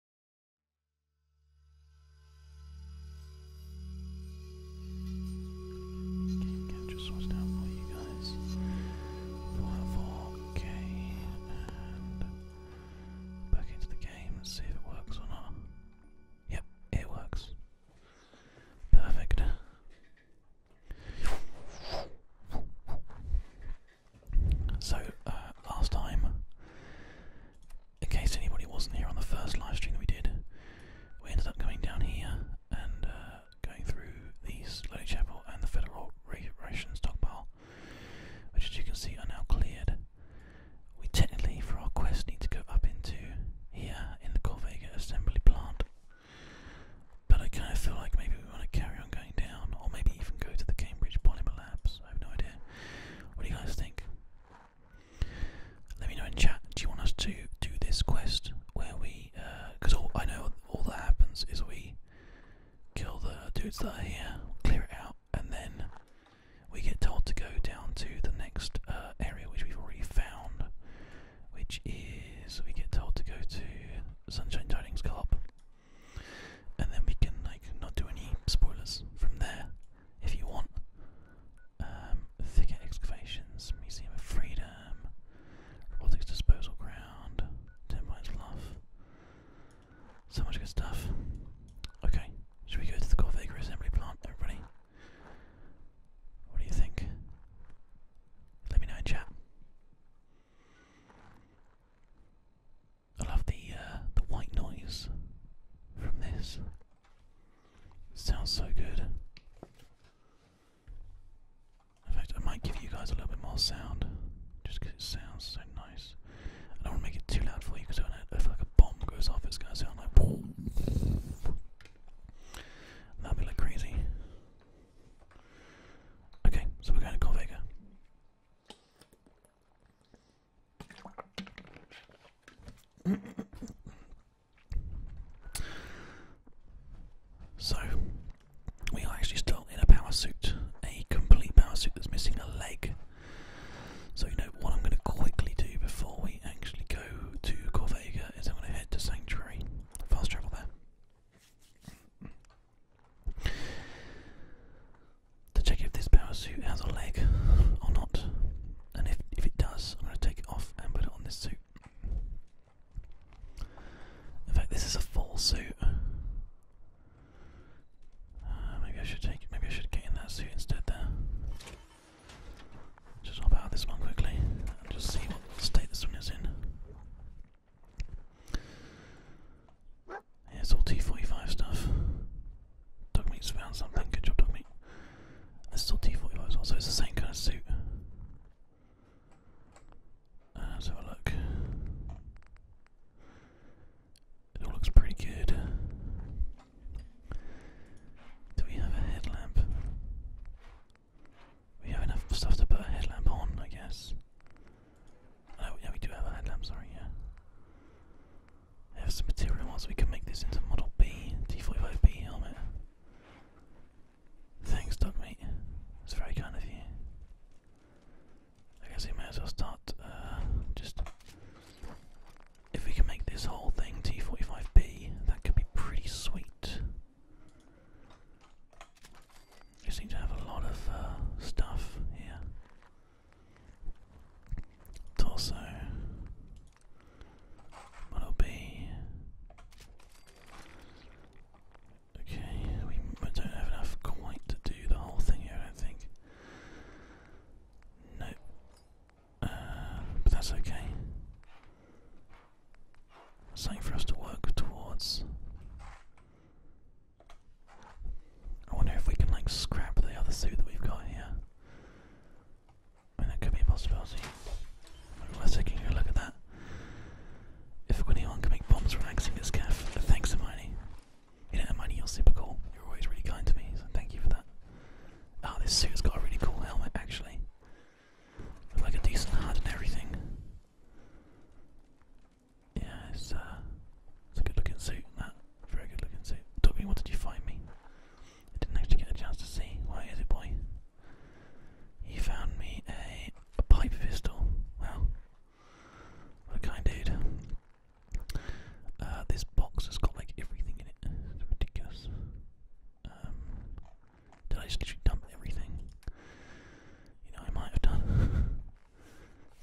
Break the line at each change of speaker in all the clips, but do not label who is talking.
Game capture sorted for you guys. 4K and back into the game and see if it works or not. Yep, it works. Perfect. So, uh, last time, in case anybody wasn't here on the first live stream that we did, we ended up going down here and uh, going through the Slow Chapel and the Federal Ration Stockpile, which as you can see are now cleared. We technically, for our quest, need to go up into here in the Corvega assembly plant. But I kind of feel like maybe we want to carry on going down, or maybe even go to the Cambridge Polymer Labs. I have no idea. What do you guys think? Let me know in chat. Do you want us to do this quest where we? Because uh, I know all that happens is we kill the dudes that are here, clear it out, and then we get told to go down to the next uh, area which we've already found, which is we get told to go to Sunshine Tidings Club and then we can like not do any spoilers from there if you want. Um, thicket excavations, museum of freedom, robotics disposal ground, termites bluff. So much good stuff. Okay, should we go to the Corvaga assembly plant, everybody? What do you think? Let me know in I love the uh, the white noise from this. sounds so good. In fact, I might give you guys a little bit more sound, just it sounds so nice. I don't want to make it too loud for you, to if like a bomb goes off, it's going to sound like boom. That'd be like crazy. Okay, so we're going to Corvega. So, we are actually still in a power suit, a complete power suit that's missing a leg. So, you know, what I'm going to quickly do before we actually go to Corvega is I'm going to head to Sanctuary, fast travel there to check if this power suit has a leg or not. And if, if it does, I'm going to take it off and put it on this suit. In fact, this is a full suit. Uh, maybe I should take. Maybe I should get in that suit instead. There. Just hop out of this one quickly and just see what state this one is in it's all T45 stuff. Dogmeat's found something. Good job, Dogmeat. This is all T45 as well, so it's the same kind of suit. Uh, let's have a look. It all looks pretty good. Do we have a headlamp? We have enough stuff to put a headlamp on, I guess. Oh, yeah, we do have a headlamp, sorry, yeah. We have some material so we can make this into Model B, T45B helmet. Thanks, Doug, mate. It's very kind of you. I guess we may as well start, uh, just... If we can make this whole thing T45B, that could be pretty sweet. You seem to have a lot of uh, stuff here torso will be okay. We don't have enough quite to do the whole thing here. I think. No, uh, but that's okay. Something for us to work towards. I wonder if we can like scrap the other suit that we've got here. I mean, that could be a possibility. Let's take a look at that. If anyone can make bombs from this calf, thanks, Hermione. You know, Hermione, you're super cool. You're always really kind to me, so thank you for that. Oh, this suit's got a really cool helmet, actually. like a decent HUD and everything. Yeah, it's, uh, a good looking suit, very good looking suit. Dobby, what did you find me? I didn't actually get a chance to see. Why is it, boy? He found me a, a pipe pistol. Well, what kind dude. Uh, this box has got like everything in it. ridiculous. Um, did I just dump everything? You know, I might have done.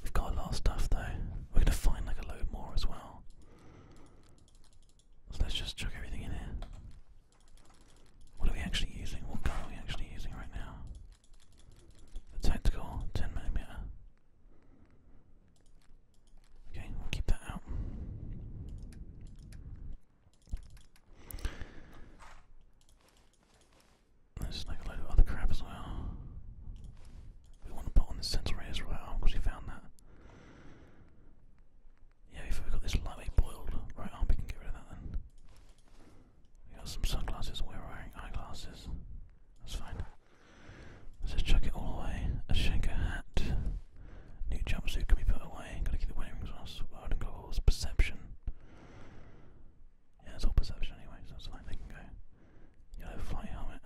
We've got a lot of stuff though. We're gonna find like a load more as well. So let's just chuck everything in here. What are we actually using? What gun are we actually using right now? The tactical 10mm. Okay, keep that out. There's like a load of other crap as well. We want to put on the sensor ray as well because we found that. Yeah, we've got this lightweight boiled right arm, we can get rid of that then. We got some sunglasses, we're wearing eyeglasses. That's fine. Let's just chuck it all away. A shanker hat. New jumpsuit can be put away. Gotta keep the wedding rings on. Sword and goggles. Perception. Yeah, it's all perception anyway, so that's fine. They can go yellow flight helmet.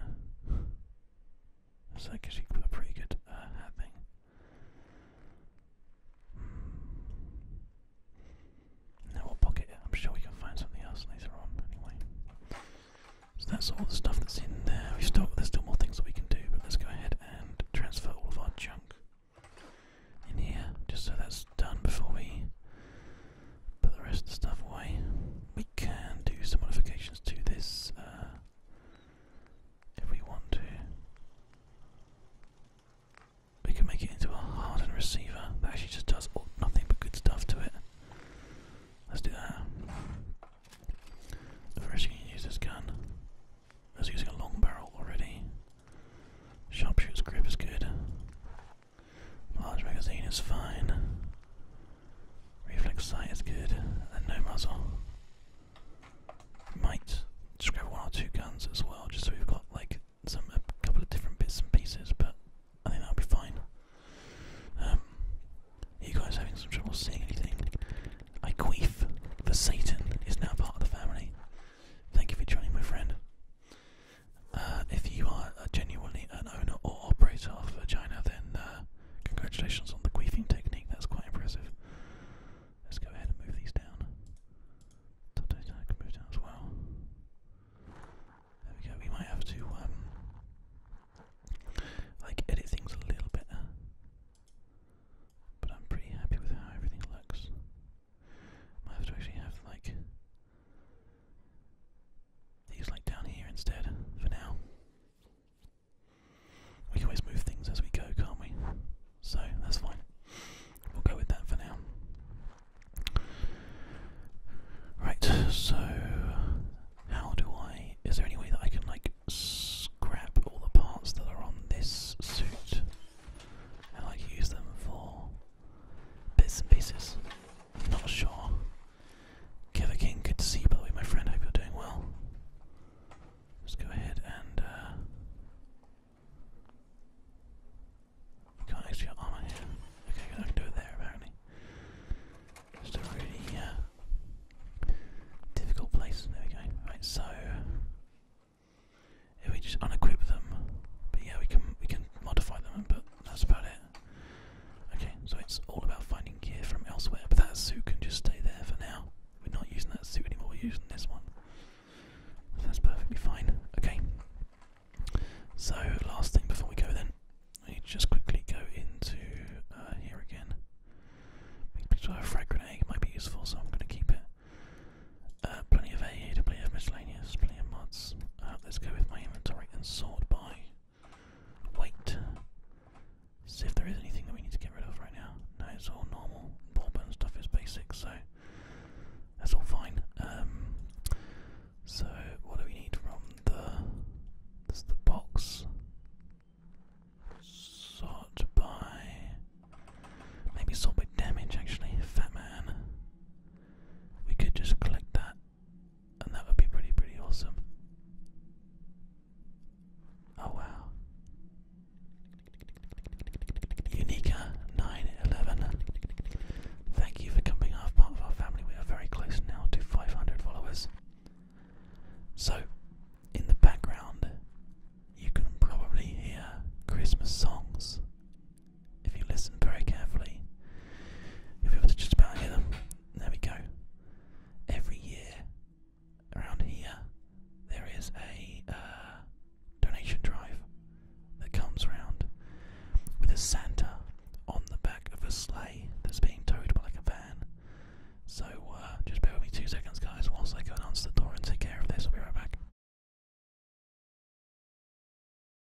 That's actually a pretty good uh, hat thing. Hmm. Now we'll pocket it. I'm sure we can find something else later on. Anyway, so that's all the stuff that's in there. We still there's still more things that we can do, but let's go ahead and transfer all of our junk in here, just so that's done before we put the rest of the stuff away. We can do some modifications to this uh, if we want to. We can make it into a hardened receiver that actually just does all, nothing but good stuff to it. Let's do that. First, you can use this gun. I was using a long barrel already. Sharpshooter's grip is good. Large magazine is fine. Reflex sight is good, and no muzzle. Might just grab one or two guns as well, just so we've got like some a couple of different bits and pieces, but I think that'll be fine. are um, you guys having some trouble seeing anything? I queef. The Satan is now part of the family. Thank you for joining, my friend. Uh, if you are are genuinely an owner or operator of a vagina, then uh, congratulations on the queefing technique. That's quite impressive. Let's go ahead and move these down. Top can move down as well. There we go. We might have to um, like edit things a little bit, uh, but I'm pretty happy with how everything looks. Might have to actually have like He's like down here instead, for now. We can always move things as we go, can't we? So that's fine. We'll go with that for now. Right, so how do I. Is there any way that I can, like, scrap all the parts that are on this suit and, like, use them for bits and pieces? not sure. Killer King, good to see you by the way, my friend. Hope you're doing well. Let's go ahead and. Uh, we armor here. Okay, I can do it there apparently. Just a really uh, difficult place. There we go. Right, so if we just unequip them, but yeah, we can we can modify them, but that's about it. Okay, so it's all about finding gear from elsewhere, but that suit can just stay there for now. We're not using that suit anymore, we're using this one. that's perfectly fine. Okay. So, last thing before we go then, we need to just quickly go into uh, here again. Make sure I have a frag grenade, might be useful, so I'm going to keep it. Uh, plenty of aid, plenty of miscellaneous, plenty of mods. Uh, let's go with my inventory and sort by Wait. See if there is anything that we need to get rid of right now. No, it's all normal. Ball Ballburn stuff is basic, so that's all fine. Um, so what do we need from the? There's the box. Sort by. Maybe sort by damage. Actually, Fat Man. We could just collect that and that would be pretty, pretty awesome. Oh wow. Unica911. Thank you for coming out part of our family. We are very close now to 500 followers. So, in the background, you can probably hear Christmas songs. If you listen very carefully, you'll to just about hear them there we go. Every year around here, there is a uh, donation drive that comes round with a Santa on the back of a sleigh that's being towed by like a van. So uh, just bear with me two seconds, guys, whilst I go and answer the door and take care of this. I'll be right back.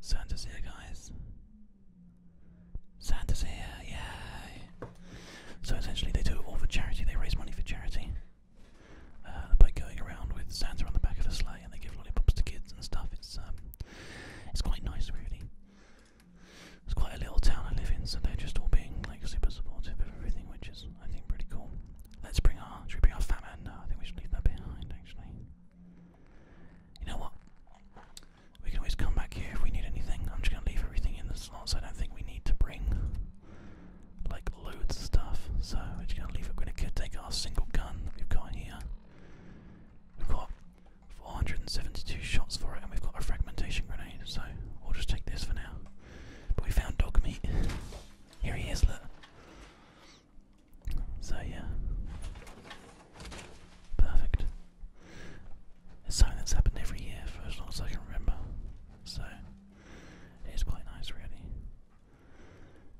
Santa's here, guys. Santa's here, yeah. So essentially, they do it all for charity. They raise money for charity uh, by going around with Santa on the back of a sleigh, and they give lollipops to kids and stuff. It's um, it's quite nice, really. It's quite a little town I live in, so they're just all being like super supportive of everything, which is I think pretty cool. Let's bring our. Should we bring our famine? No, I think we should leave that behind, actually. You know what? We can always come back here if we need anything. I'm just gonna leave everything in the slots. I don't think we need to bring like loads of stuff. So we're just gonna leave it. We're gonna take our single gun that we've got here. We've got 472 shots for it, and we've got a fragmentation grenade. So we'll just take this for now. But we found dog meat. Here he is, look. So yeah. Perfect. It's something that's happened every year for long as I can remember. So it is quite nice really.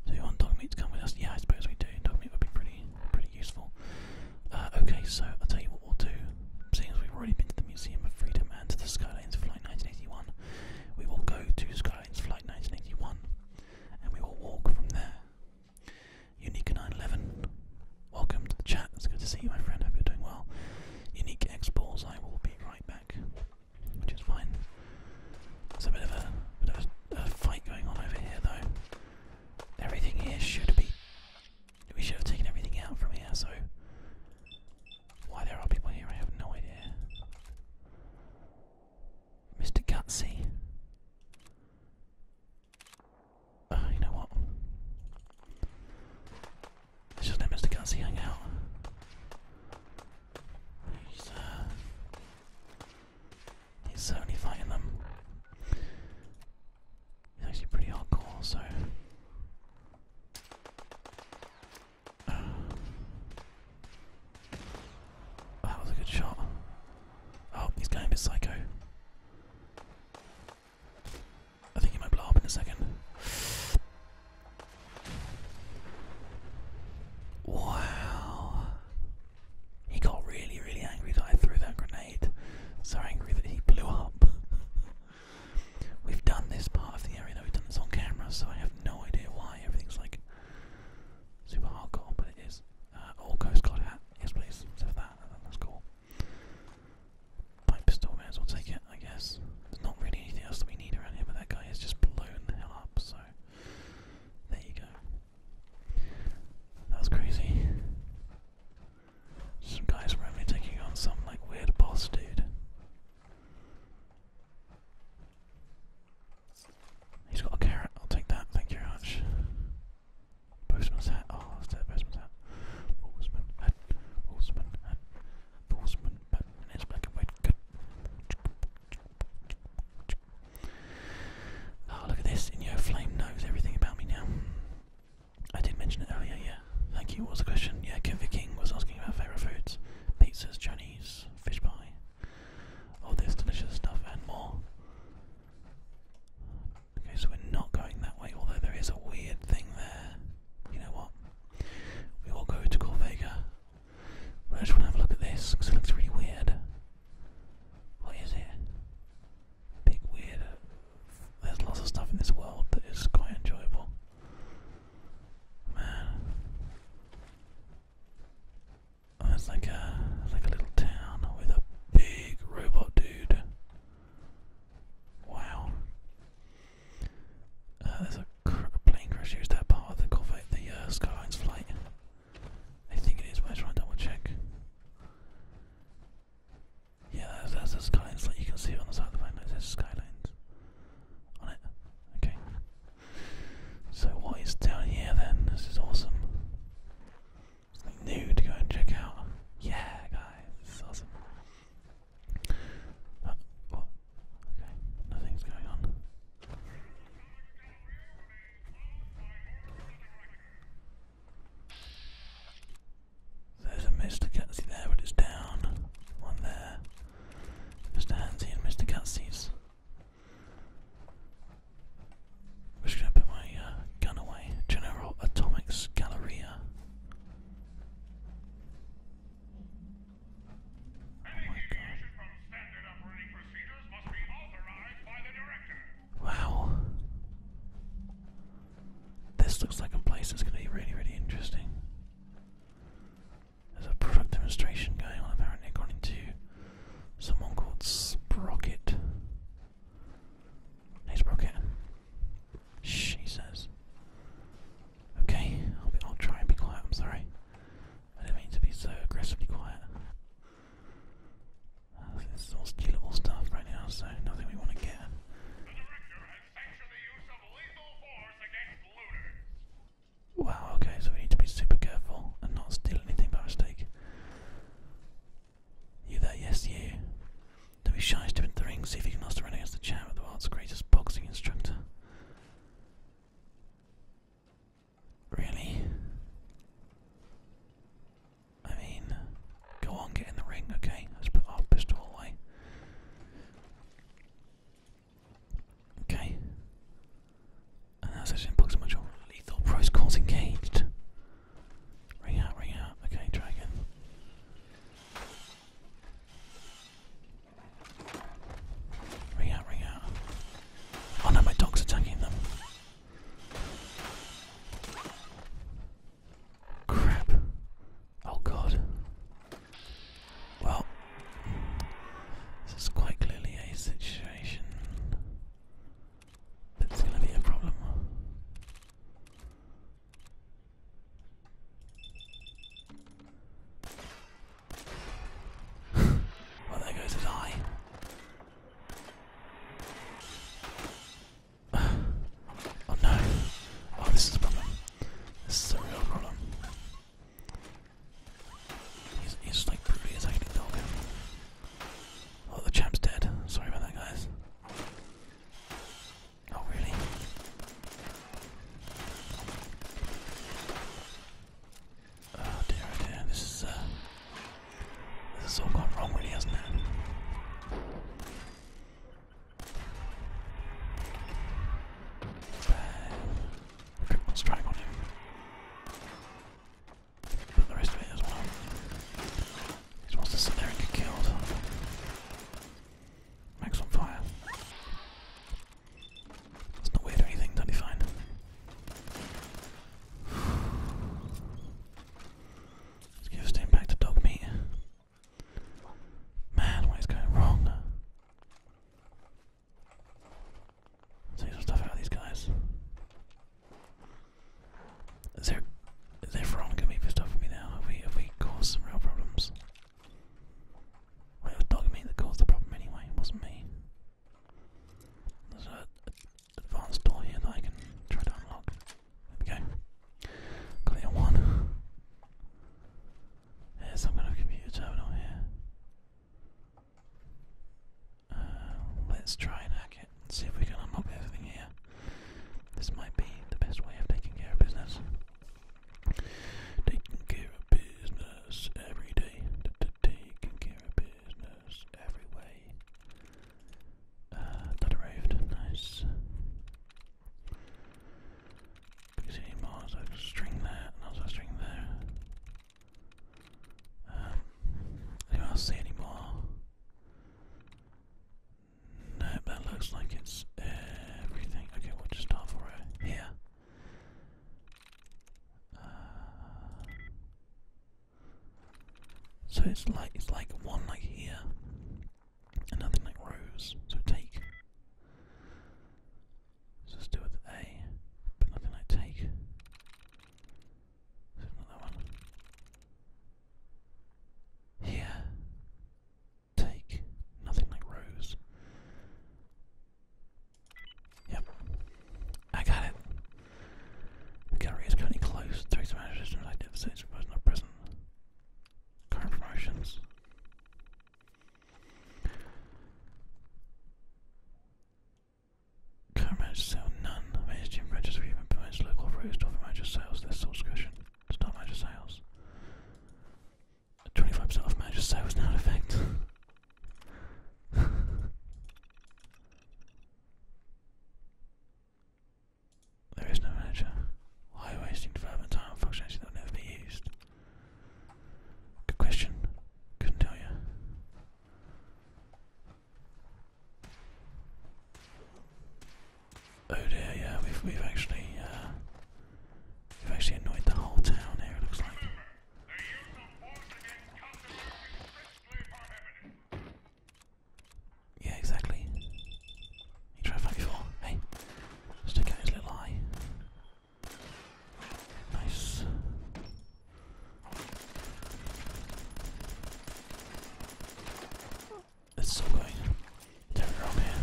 So you want dog meat to come with us? Yeah, I suppose we do. Dog meat would be pretty pretty useful. Uh, okay, so I'll tell you what we'll do. Seeing as we've already been to the Museum of Freedom and to the Skylines Flight 1981, we will go to Skyline Airlines Flight 1981, and we will walk from there. Unique 911, welcome to the chat. It's good to see you, my friend. Hope you're doing well. Unique X I will be right back, which is fine. There's a bit of a bit of a fight going on over here, though. Everything here should be. We should have taken everything out from here, so why there are people here, I have no idea. Mr. Gutsy. Uh, you know what? let just let Mr. Gutsy hang out. He's, uh, he's certainly fighting them. He's actually pretty hardcore, so. Oh, that was a good shot. Oh, he's going a bit psycho. I think he might blow up in a second. Wow. He got really, really angry that I threw that grenade. So angry that he blew up. We've done this part of the area, though, we've done this on camera, so I have no idea why everything's like super hardcore, but it is. all uh, Coast Guard hat, yes please, so that, uh, that's cool. Pipe pistol, may as well take it, I guess. There's not really anything else that we need around here, but that guy is just blown the hell up, so there you go. That was crazy. Some guys were only taking on some like weird boss dude. He's got a carrot. I'll take that. Thank you very much. hat. Oh, that's hat. Postman hat. Postman hat. Postman hat. And it's black and white. Oh, look at this. In your flame knows everything about me now. I did mention it earlier, yeah. Thank you. What the question? Yeah, Kevin King was asking about favourite foods. Pizzas, Chinese, fish pie, all oh, this delicious stuff and more. Okay, so we're not going that way, although there is a weird thing there. You know what? We will go to Corvega. I just want to have a look at this, because it looks really weird. What is it? Big weird. Uh, there's lots of stuff in this world that is quite enjoyable. Man. Oh, it's like a like a little town with a big robot dude. Wow. Uh, there's a, plane crash here. Is that part of the uh, Skylines flight? I think it is, but I just want double check. Yeah, that's, the Skylines flight. You can see it on the side of the plane. It Skylines on it. Okay. So what is down here then? This is awesome. Something new to go and check out. Yeah, guys, awesome. Uh, okay, nothing's going on. There's a Mr. Gatsby there, but it's down. One there. Mr. Hansie and Mr. Cutsies. I'm just put my uh, gun away. General Atomics Galleria. Oh my god. Wow. This looks like a place that's gonna be really, really interesting. There's a perfect demonstration going on apparently according to someone called Sprocket. Hey Sprocket. She says. Okay, I'll, be, I'll try and be quiet, I'm sorry. I didn't mean to be so aggressively quiet. Uh, this is all stealable stuff right now, so nothing we want to get. Wow, okay, so we need to be super careful and not steal anything by mistake. You there, yes, you. Don't be shy, step into the ring, see if you can last a run against the champ of the world's greatest boxing instructor. Really? I mean, go on, get in the ring, okay? Let's put our pistol away. Okay. And that's actually unplugged so much lethal pros calls engaged. Ring out, ring out. Okay, try Ring out, ring out. Oh no, my dog's attacking them. Crap. Oh god. Well, this is quite clearly a situation that's going to be a problem. well, there goes his eye. Oh no! Oh, this is a problem. This is a real problem. He's, just like brutally attacking the dog. Oh, the champ's dead. Sorry about that, guys. Oh, really? Oh dear, oh dear. This is, uh, this has all gone wrong, really, hasn't it? Everyone's trying on him. But the rest of it as well. He wants to sit there and get killed. Max on fire. That's not weird or anything, don't you find? Let's give Stain back to dog meat. Man, what is going wrong? Take some stuff out of these guys. Is there is everyone gonna be pissed off at me now? Have we have we caused some real problems? Well it was dog me that caused the problem anyway, it wasn't me. There's an advanced door here that I can try to unlock. There we go. Got it in one. There's some kind of computer terminal here. Uh, let's try and hack it and see if we can unlock everything here. This might be the best way of taking care of business. Taking care of business every day. To take Taking care of business every way. that uh, arrived. Nice. Because you more, so string there, and also string there. Um, anyone see any more? No, that looks like it's everything. Okay, we'll just start it here. Uh, so it's like it's like one like here, and nothing like rows. So take let's do it with A, but nothing like take. So not one. Here. Take. Nothing like rose. Yep. I got it. The gallery is currently closed. Takes advantage of like devastates, but not present. Current promotions. Comrades sell none. Major Jim Rogers even promotes local operators to offer manager sales. Their sole discretion. Start manager sales. 25% off manager sales now in effect. there is no manager. High wasting development time and functionality that will never be used. Good question. Couldn't tell you. Oh dear, yeah, we've actually uh, we've actually annoyed the whole town here. It looks like. Yeah, exactly. You try to fight Hey, stick out his little eye. Nice. It's still going. There we man.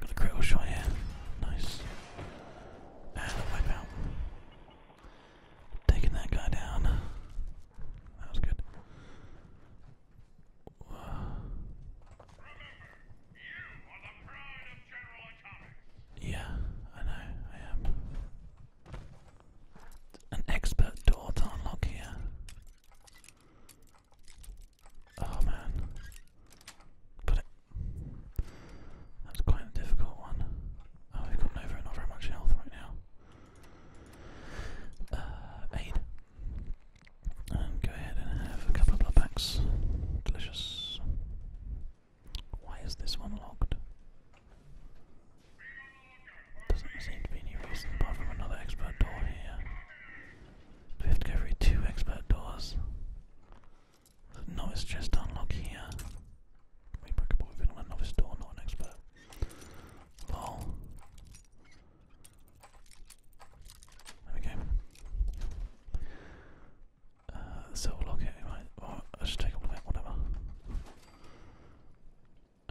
Got a critical shot here. Nice. And a wipe out. Taking that guy down. That was good. Yeah, I know, I am. An expert door to unlock here. Oh man. Got That's quite a difficult one. Oh, we've got Nova not very much health right now. Uh, aid. And go ahead and have a couple of blood packs. Delicious. Why is this one locked? Doesn't seem to be any reason apart from another expert door here. we have to go through two expert doors? No, it's just unlock here. We broke up with a novice door, not an expert. Lol. There we go. Uh, the silver right? I should take all of whatever.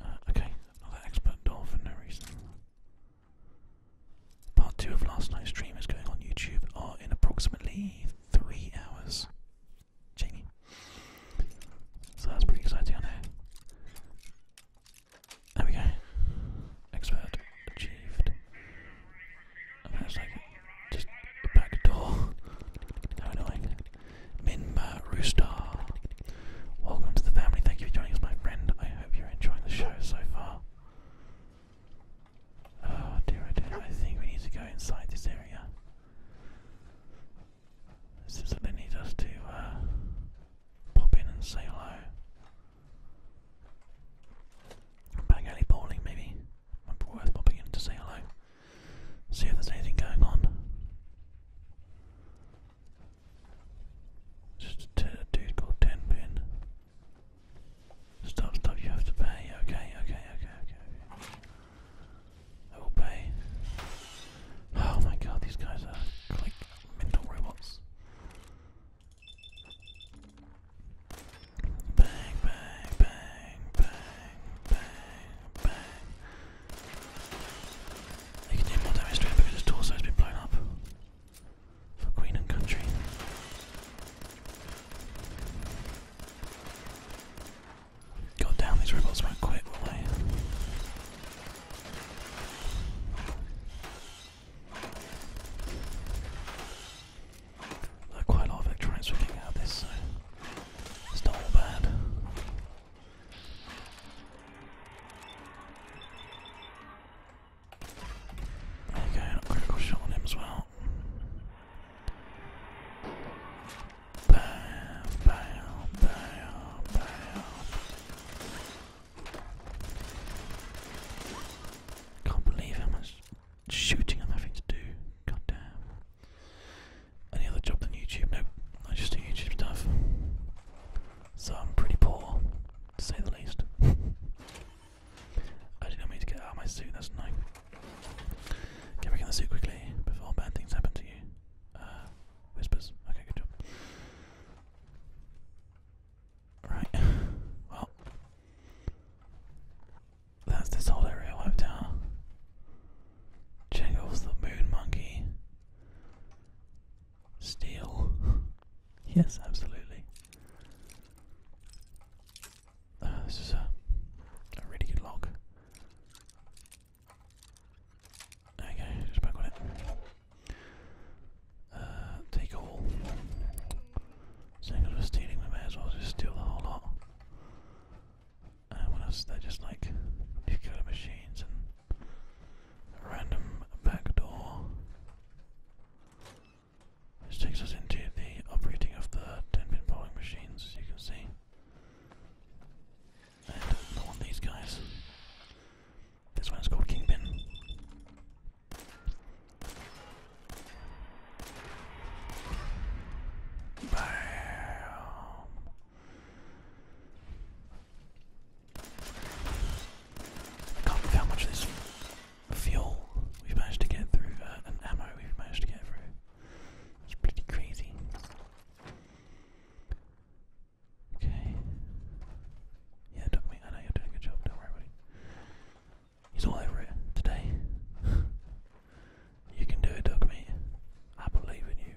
Uh, okay, another expert door for no reason. Part 2 of last night's stream is going on YouTube in approximately 3 hours. Jamie. So that's pretty exciting, I know. There we go. Expert achieved. And that's like just back door. How annoying. Minma Roostar. Welcome to the family. Thank you for joining us, my friend. I hope you're enjoying the show so far. Oh dear, oh dear. I think we need to go inside this area. It seems they need us to uh, pop in and say hello. Back bowling, maybe. worth popping in to say hello. See if there's anything going on. Just a, dude called Ten Stop, stop, you have to pay. okay, okay, okay, okay. Obey. Oh my god, these guys are like mental robots. Bang, bang, bang, bang, bang, bang. They can do more damage to him because his torso's been blown up. For Queen and Country. God down these rebels won't quit, quite a lot of electronics working out of this, so it's not all bad. There you go, a critical shot on him as well. Can't believe how much shooting I'm having to do. God Any other job than YouTube? Nope. I just do YouTube stuff. So I'm pretty poor, to say the least. I didn't mean to get out of my suit, that's annoying. Get back in the suit quickly before bad things happen to you. Uh, whispers. Okay, good job. Right. Well, that's this whole area wiped out. Jingles the moon monkey. Steel. yes, absolutely. Uh, this is a, really good lock. Okay, just back on it. Uh, take all. Saying I was stealing, we may as well just steal the whole lot. And uh, what else? they just like these machines and random back This takes us into the operating of the 10 pin machines, as you can see. And lawn these guys. This one's called Kingpin. Bam. can't believe how much this fuel we managed to get through, uh, and ammo we managed to get through. It's pretty crazy. Okay. Yeah, it me. I know you're doing a good job. Don't worry, buddy. He's all over it today. you can do it, dog mate. I believe in you.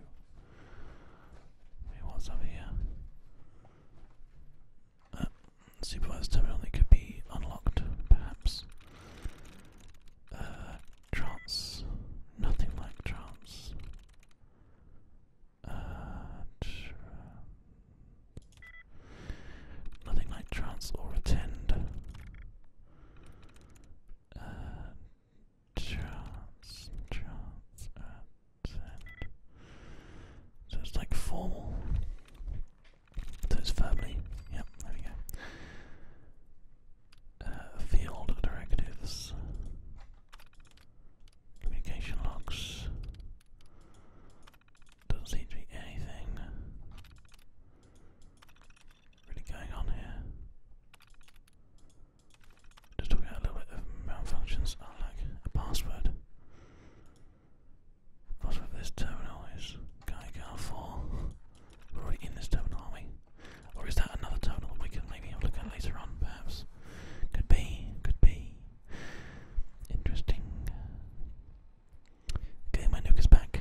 what's up here? Uh, supervised terminal could be unlocked, perhaps. Uh, trance. Nothing like trance. Uh, nothing like trance or attend. Uh, trance, trance, So it's like formal. So it's verbally. Yep, there we go. Uh, field directives, communication logs. Doesn't seem to be anything really going on here. Just talking a little bit of malfunctions. Oh, like a password. Password for this terminal is Gaigar 4. already in this terminal, we? Or is that another total that we can maybe have a look at later on, perhaps? Could be, could be. Interesting. Okay, my nuke is back.